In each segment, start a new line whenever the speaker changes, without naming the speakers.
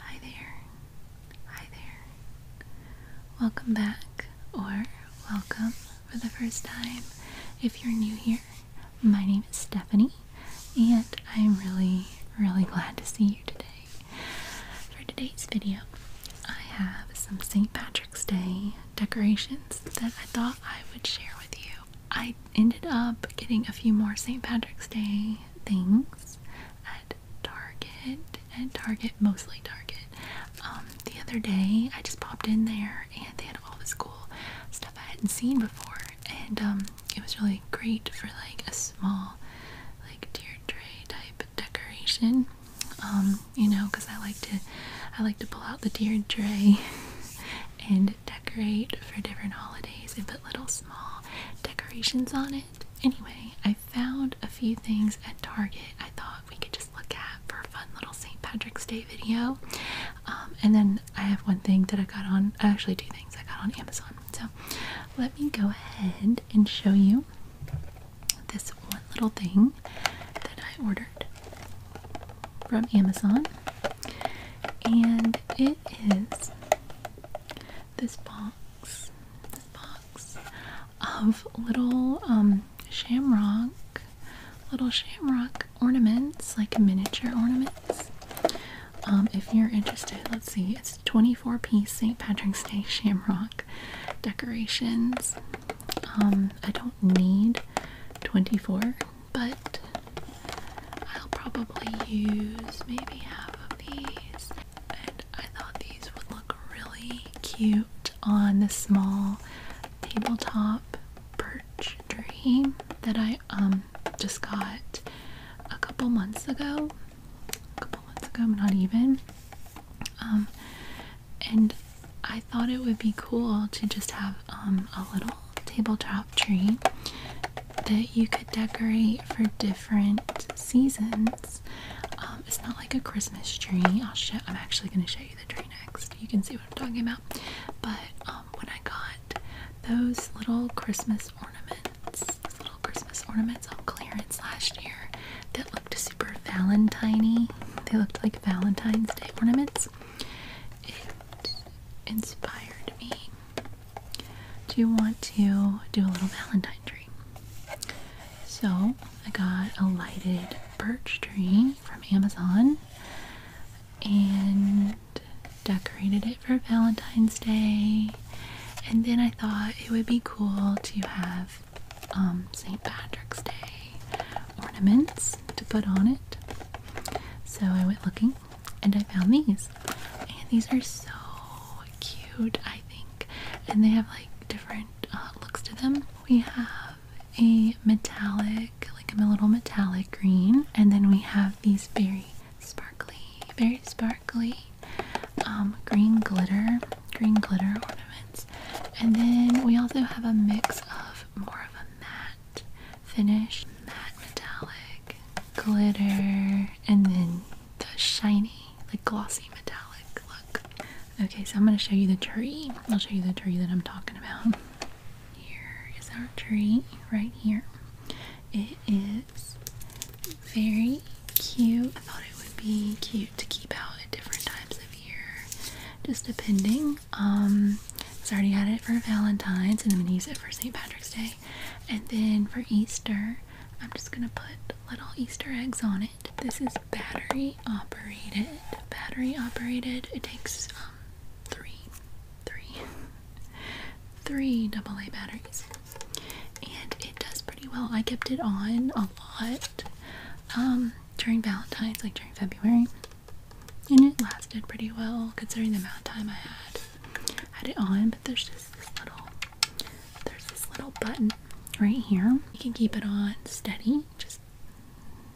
Hi there. Hi there. Welcome back, or welcome for the first time. If you're new here, my name is Stephanie, and I'm really, really glad to see you today. For today's video, I have some St. Patrick's Day decorations that I thought I would share with you. I ended up getting a few more St. Patrick's Day things at Target, at Target, mostly Target. Um, the other day, I just popped in there and they had all this cool stuff I hadn't seen before, and um, it was really great for like a small, like deer tray type decoration. Um, you know, because I like to, I like to pull out the deer tray and decorate for different holidays and put little small decorations on it. Anyway, I found a few things at Target I thought we could just look at for a fun little St. Patrick's Day video. Um, and then I have one thing that I got on, I actually, two things I got on Amazon. So let me go ahead and show you this one little thing that I ordered from Amazon. And it is this box, this box of little um, shamrock, little shamrock ornaments, like miniature ornaments. Um, if you're interested, let's see, it's 24 piece St. Patrick's Day shamrock decorations. Um, I don't need 24, but I'll probably use maybe half of these. And I thought these would look really cute on this small tabletop perch tree that I um just got a couple months ago. A couple months ago, not even. Um and I thought it would be cool to just have um a little tabletop tree that you could decorate for different seasons. Um, it's not like a Christmas tree. I'll show. I'm actually going to show you the tree next. You can see what I'm talking about. But um, when I got those little Christmas ornaments, those little Christmas ornaments on clearance last year, that looked super Valentiney. They looked like Valentine's Day ornaments. It inspired me do you want to do a little valentine tree? So I got a lighted birch tree from Amazon and decorated it for Valentine's Day. And then I thought it would be cool to have um, St. Patrick's Day ornaments to put on it. So I went looking and I found these. And these are so cute, I think. And they have like different uh, looks to them. We have a metallic, like a little metallic green, and then we have these very sparkly, very sparkly um, green glitter, green glitter ornaments. And then we also have a mix of more of a matte finish, matte metallic glitter and then the shiny, like glossy metallic look. Okay, so I'm going to show you the tree. I'll show you the tree that I'm talking about. Here is our tree right here. It is very cute. I thought it would be cute to keep out at different times of year, just depending. Um, so I already had it for Valentine's and I'm going to use it for St. Patrick's Day and then for Easter, I'm just gonna put little Easter eggs on it. This is battery operated. Battery operated. It takes um three, three, three AA batteries, and it does pretty well. I kept it on a lot um, during Valentine's, like during February, and it lasted pretty well considering the amount of time I had had it on there's just this little there's this little button right here. You can keep it on steady, just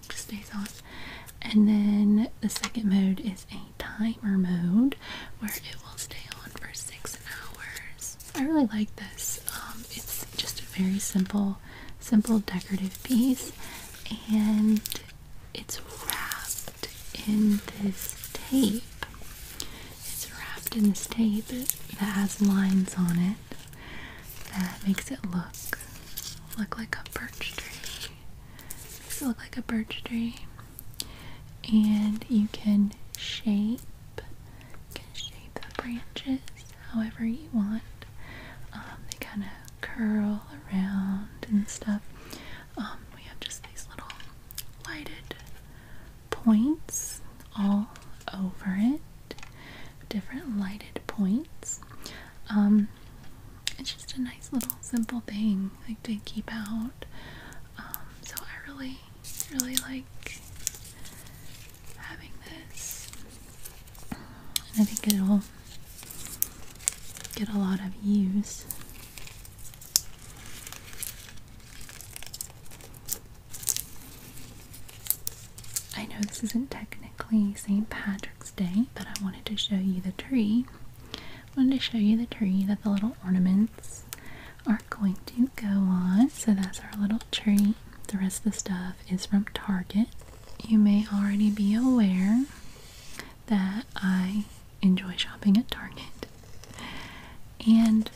just stays on. And then the second mode is a timer mode where it will stay on for six hours. I really like this. Um, it's just a very simple, simple decorative piece, and it's wrapped in this tape. It's wrapped in this tape that has lines on it that makes it look look like a birch tree. Makes it look like a birch tree. And you can shape can shape the branches however you want. Um, they kind of curl around and stuff. Um, we have just these little lighted points all over it, different lighted points. Um, it's just a nice little simple thing like to keep out. Um, so I really, really like having this, and I think it'll get a lot of use I know this isn't technically St. Patrick's Day, but I wanted to show you the tree. I wanted to show you the tree that the little ornaments are going to go on. So that's our little tree. The rest of the stuff is from Target. You may already be aware that I enjoy shopping at Target. And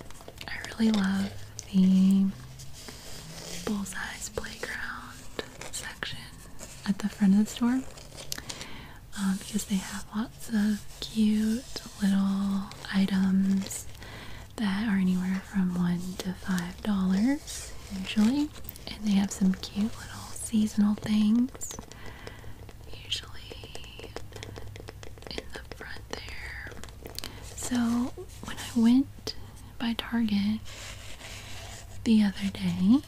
I really love the Bullseye's Playground section at the front of the store uh, because they have lots of cute little items that are anywhere from one to five dollars usually, and they have some cute little seasonal things usually in the front there. So when I went by Target the other day,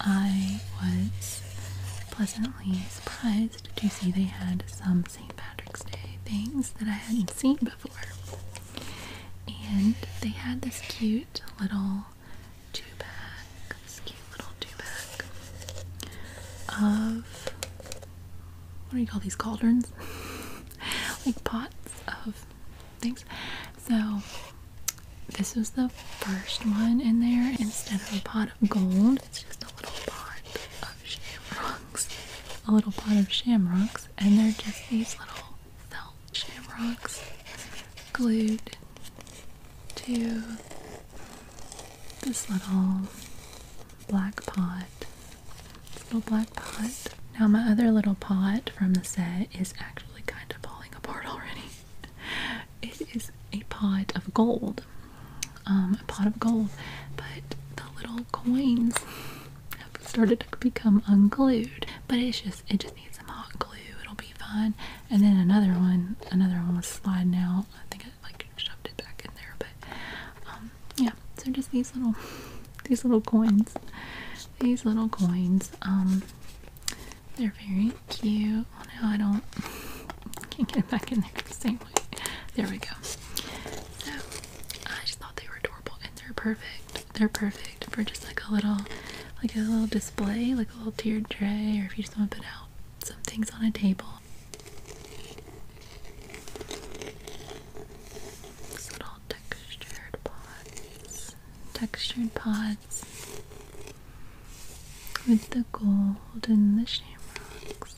I was pleasantly surprised to see they had some St. Patrick's Day things that I hadn't seen before. And they had this cute little two bag, cute little two pack of what do you call these cauldrons? like pots of things. So this was the first one in there. Instead of a pot of gold, it's just a little pot of shamrocks. A little pot of shamrocks, and they're just these little felt shamrocks glued to this little black pot. little black pot. Now my other little pot from the set is actually kind of falling apart already. It is a pot of gold. Um, a pot of gold, but the little coins have started to become unglued. But it's just it just some hot glue, it'll be fine. And then another one, another one was sliding out. I think I like shoved it back in there, but um, yeah. So just these little, these little coins, these little coins. Um, they're very cute. Well, oh, no, I don't. Can't get it back in there the same way. There we go. So I just thought they were adorable, and they're perfect. They're perfect for just like a little, like a little display, like a little tiered tray, or if you just want to put out some things on a table. little textured pods. Textured pods with the gold and the shamrocks.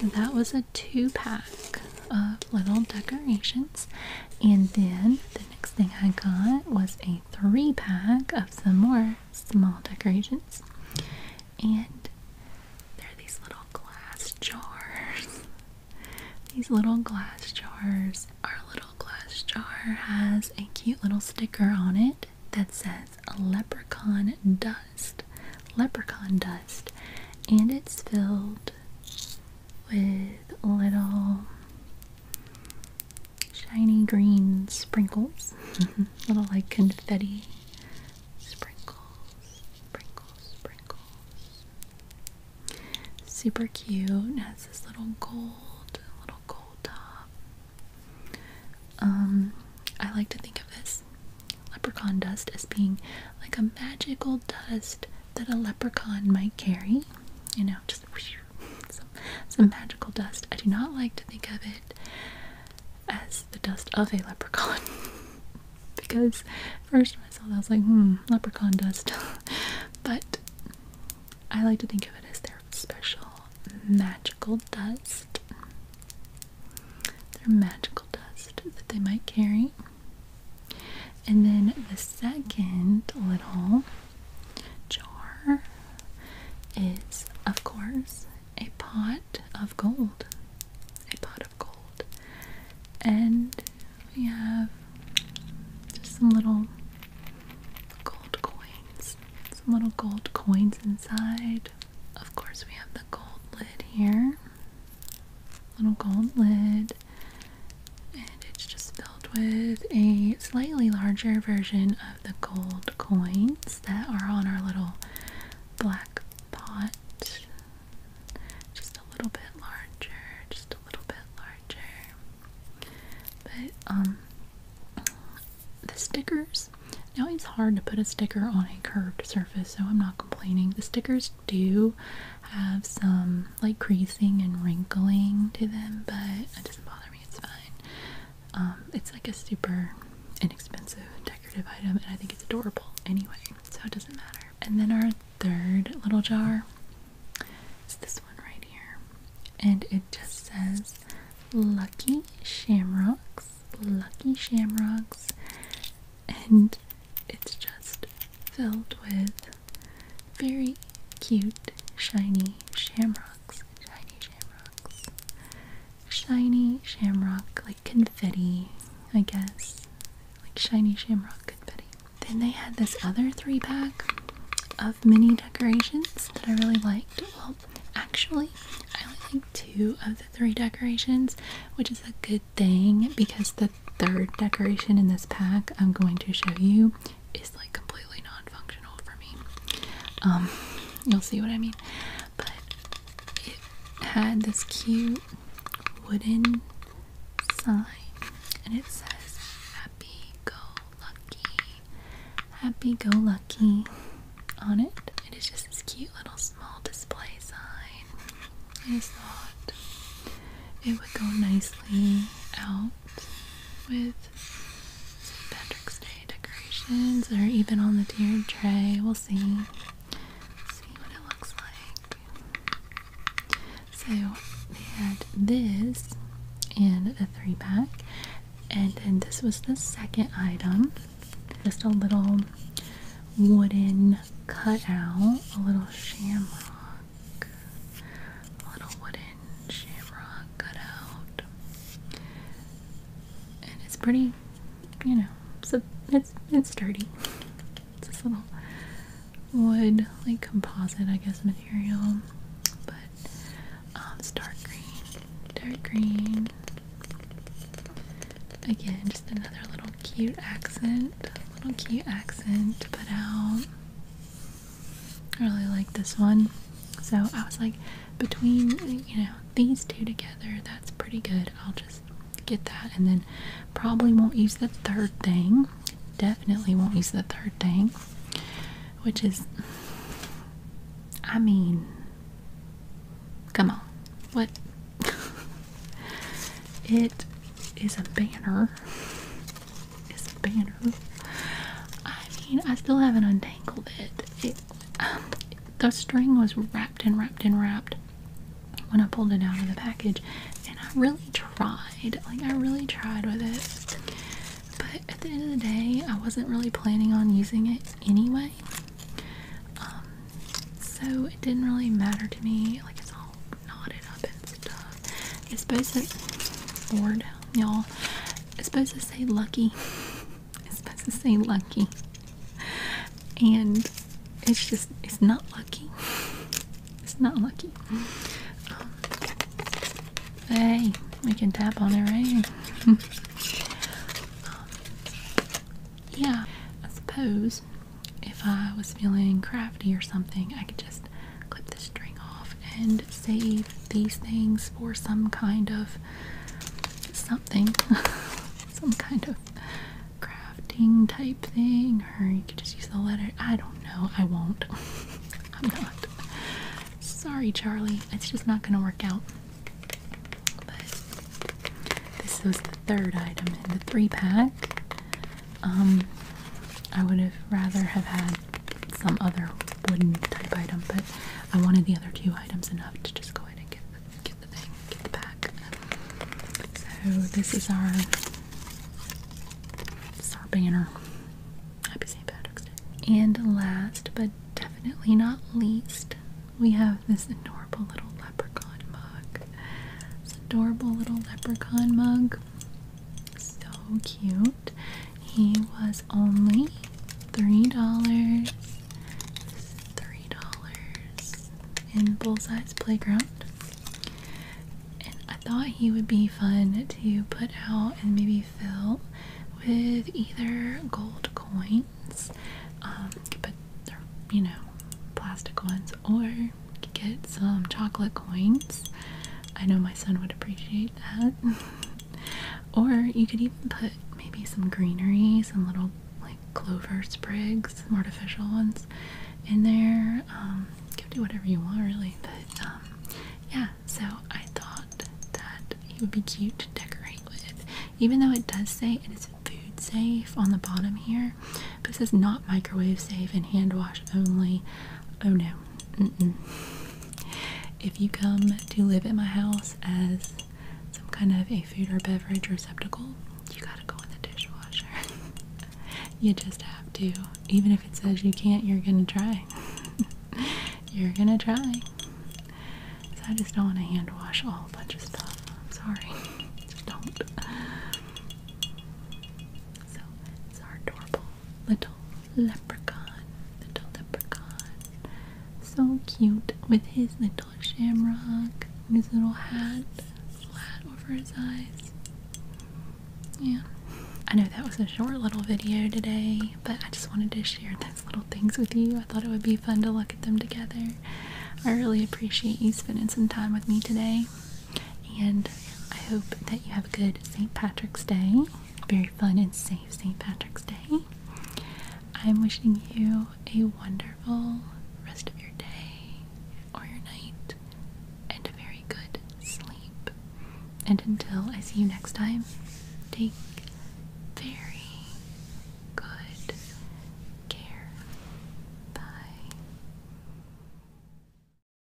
So that was a two pack of little decorations. And then the next thing I got was a three pack of some more small decorations. And they're these little glass jars. These little glass jars. Our little glass jar has a cute little sticker on it that says leprechaun dust. Leprechaun dust. And it's filled with little shiny green sprinkles, little like confetti sprinkles, sprinkles, sprinkles. Super cute. It has this little gold, little gold top. Um, I like to think of this leprechaun dust as being like a magical dust that a leprechaun might carry. You know, just whoosh, some, magical dust. I do not like to think of it as the dust of a leprechaun because first when I saw that I was like, hmm, leprechaun dust. but I like to think of it as their special magical dust. Their magical dust that they might carry. And then the second little jar is, of course, a pot of gold. A pot of gold. And we have just some little gold coins. Some little gold coins inside. Of course, we have the gold lid here. Little gold lid and it's just filled with a slightly larger version of the gold coins that are on our little black pot. Just a little bit larger, just a little bit larger. But, um, the stickers. Now it's hard to put a sticker on a curved surface, so I'm not complaining. The stickers do have some like creasing and wrinkling to them, but it doesn't bother me, it's fine. Um, it's like a super inexpensive decorative item, and I think it's adorable anyway, so it doesn't matter. And then our third little jar is this one right here, and it just says Lucky Shamrocks, Lucky Shamrocks, and it's just filled with very cute, shiny shamrocks. Shiny shamrocks. Shiny shamrock, like confetti, I guess. Like shiny shamrock confetti. Then they had this other three pack of mini decorations that I really liked. Well, actually, I only like two of the three decorations, which is a good thing because the third decoration in this pack I'm going to show you is like completely non-functional for me. Um, you'll see what I mean. But it had this cute wooden sign, and it says "Happy Go Lucky." Happy Go Lucky on it. It is just this cute little small display sign. I thought it would go nicely out with St. Patrick's Day decorations or even on the tiered tray. We'll see. See what it looks like. So they had this and a three pack. And then this was the second item. Just a little wooden cutout, a little shamrock a little wooden shamrock cutout, and it's pretty, you know, it's it's it's sturdy. It's this little wood like composite, I guess, material, but um, it's dark green, dark green. Again, just another little cute accent, little cute accent to put out. I really like this one. So I was like, between you know these two together, that's pretty good. I'll just get that, and then probably won't use the third thing. Definitely won't use the third thing, which is, I mean, come on, what? it is a banner is a banner. I mean, I still haven't untangled it. Um, the string was wrapped and wrapped and wrapped when I pulled it out of the package, and I really tried. Like, I really tried with it. But at the end of the day, I wasn't really planning on using it anyway. Um, so it didn't really matter to me. Like, it's all it's supposed to, say lucky. It's supposed to say lucky. And it's just, it's not lucky. It's not lucky. Um, hey, we can tap on it, right? Um, yeah, I suppose if I was feeling crafty or something, I could just clip the string off and save these things for some kind of something, some kind of crafting type thing, or you could just use the letter. I don't know. I won't. I'm not. Sorry, Charlie. It's just not going to work out. this was the third item in the three pack. Um, I would have rather have had some other wooden type item, but I wanted the other two items enough to just go ahead and get the, get the thing, get the pack. So this is our, this is our banner. Happy St. Patrick's Day. And last, but definitely not least, we have this adorable little leprechaun mug. This adorable little leprechaun mug. So cute. He was only three dollars. Three dollars in Bullseye's Playground. And I thought he would be fun to put out and maybe fill with either gold coins, um, you know, plastic ones, or get some chocolate coins. I know my son would appreciate that. or you could even put maybe some greenery, some little like clover sprigs, some artificial ones in there. Um, you can do whatever you want, really. But um, yeah, so I thought that it would be cute to decorate with, even though it does say it is food safe on the bottom here, but it says not microwave safe and hand wash only. Oh no, if you come to live at my house as some kind of a food or beverage receptacle, you gotta go in the dishwasher. you just have to. Even if it says you can't, you're gonna try. you're gonna try. So I just don't want to hand wash all whole bunch of stuff. I'm sorry. just don't. So adorable little leprechaun. Little leprechaun. So cute with his little shamrock his little hat. flat over his eyes. Yeah. I know that was a short little video today, but I just wanted to share these little things with you. I thought it would be fun to look at them together. I really appreciate you spending some time with me today. And I hope that you have a good St. Patrick's Day. Very fun and safe St. Patrick's Day. I'm wishing you a wonderful rest of your day or your night and a very good sleep. And until I see you next time, take very good care. Bye.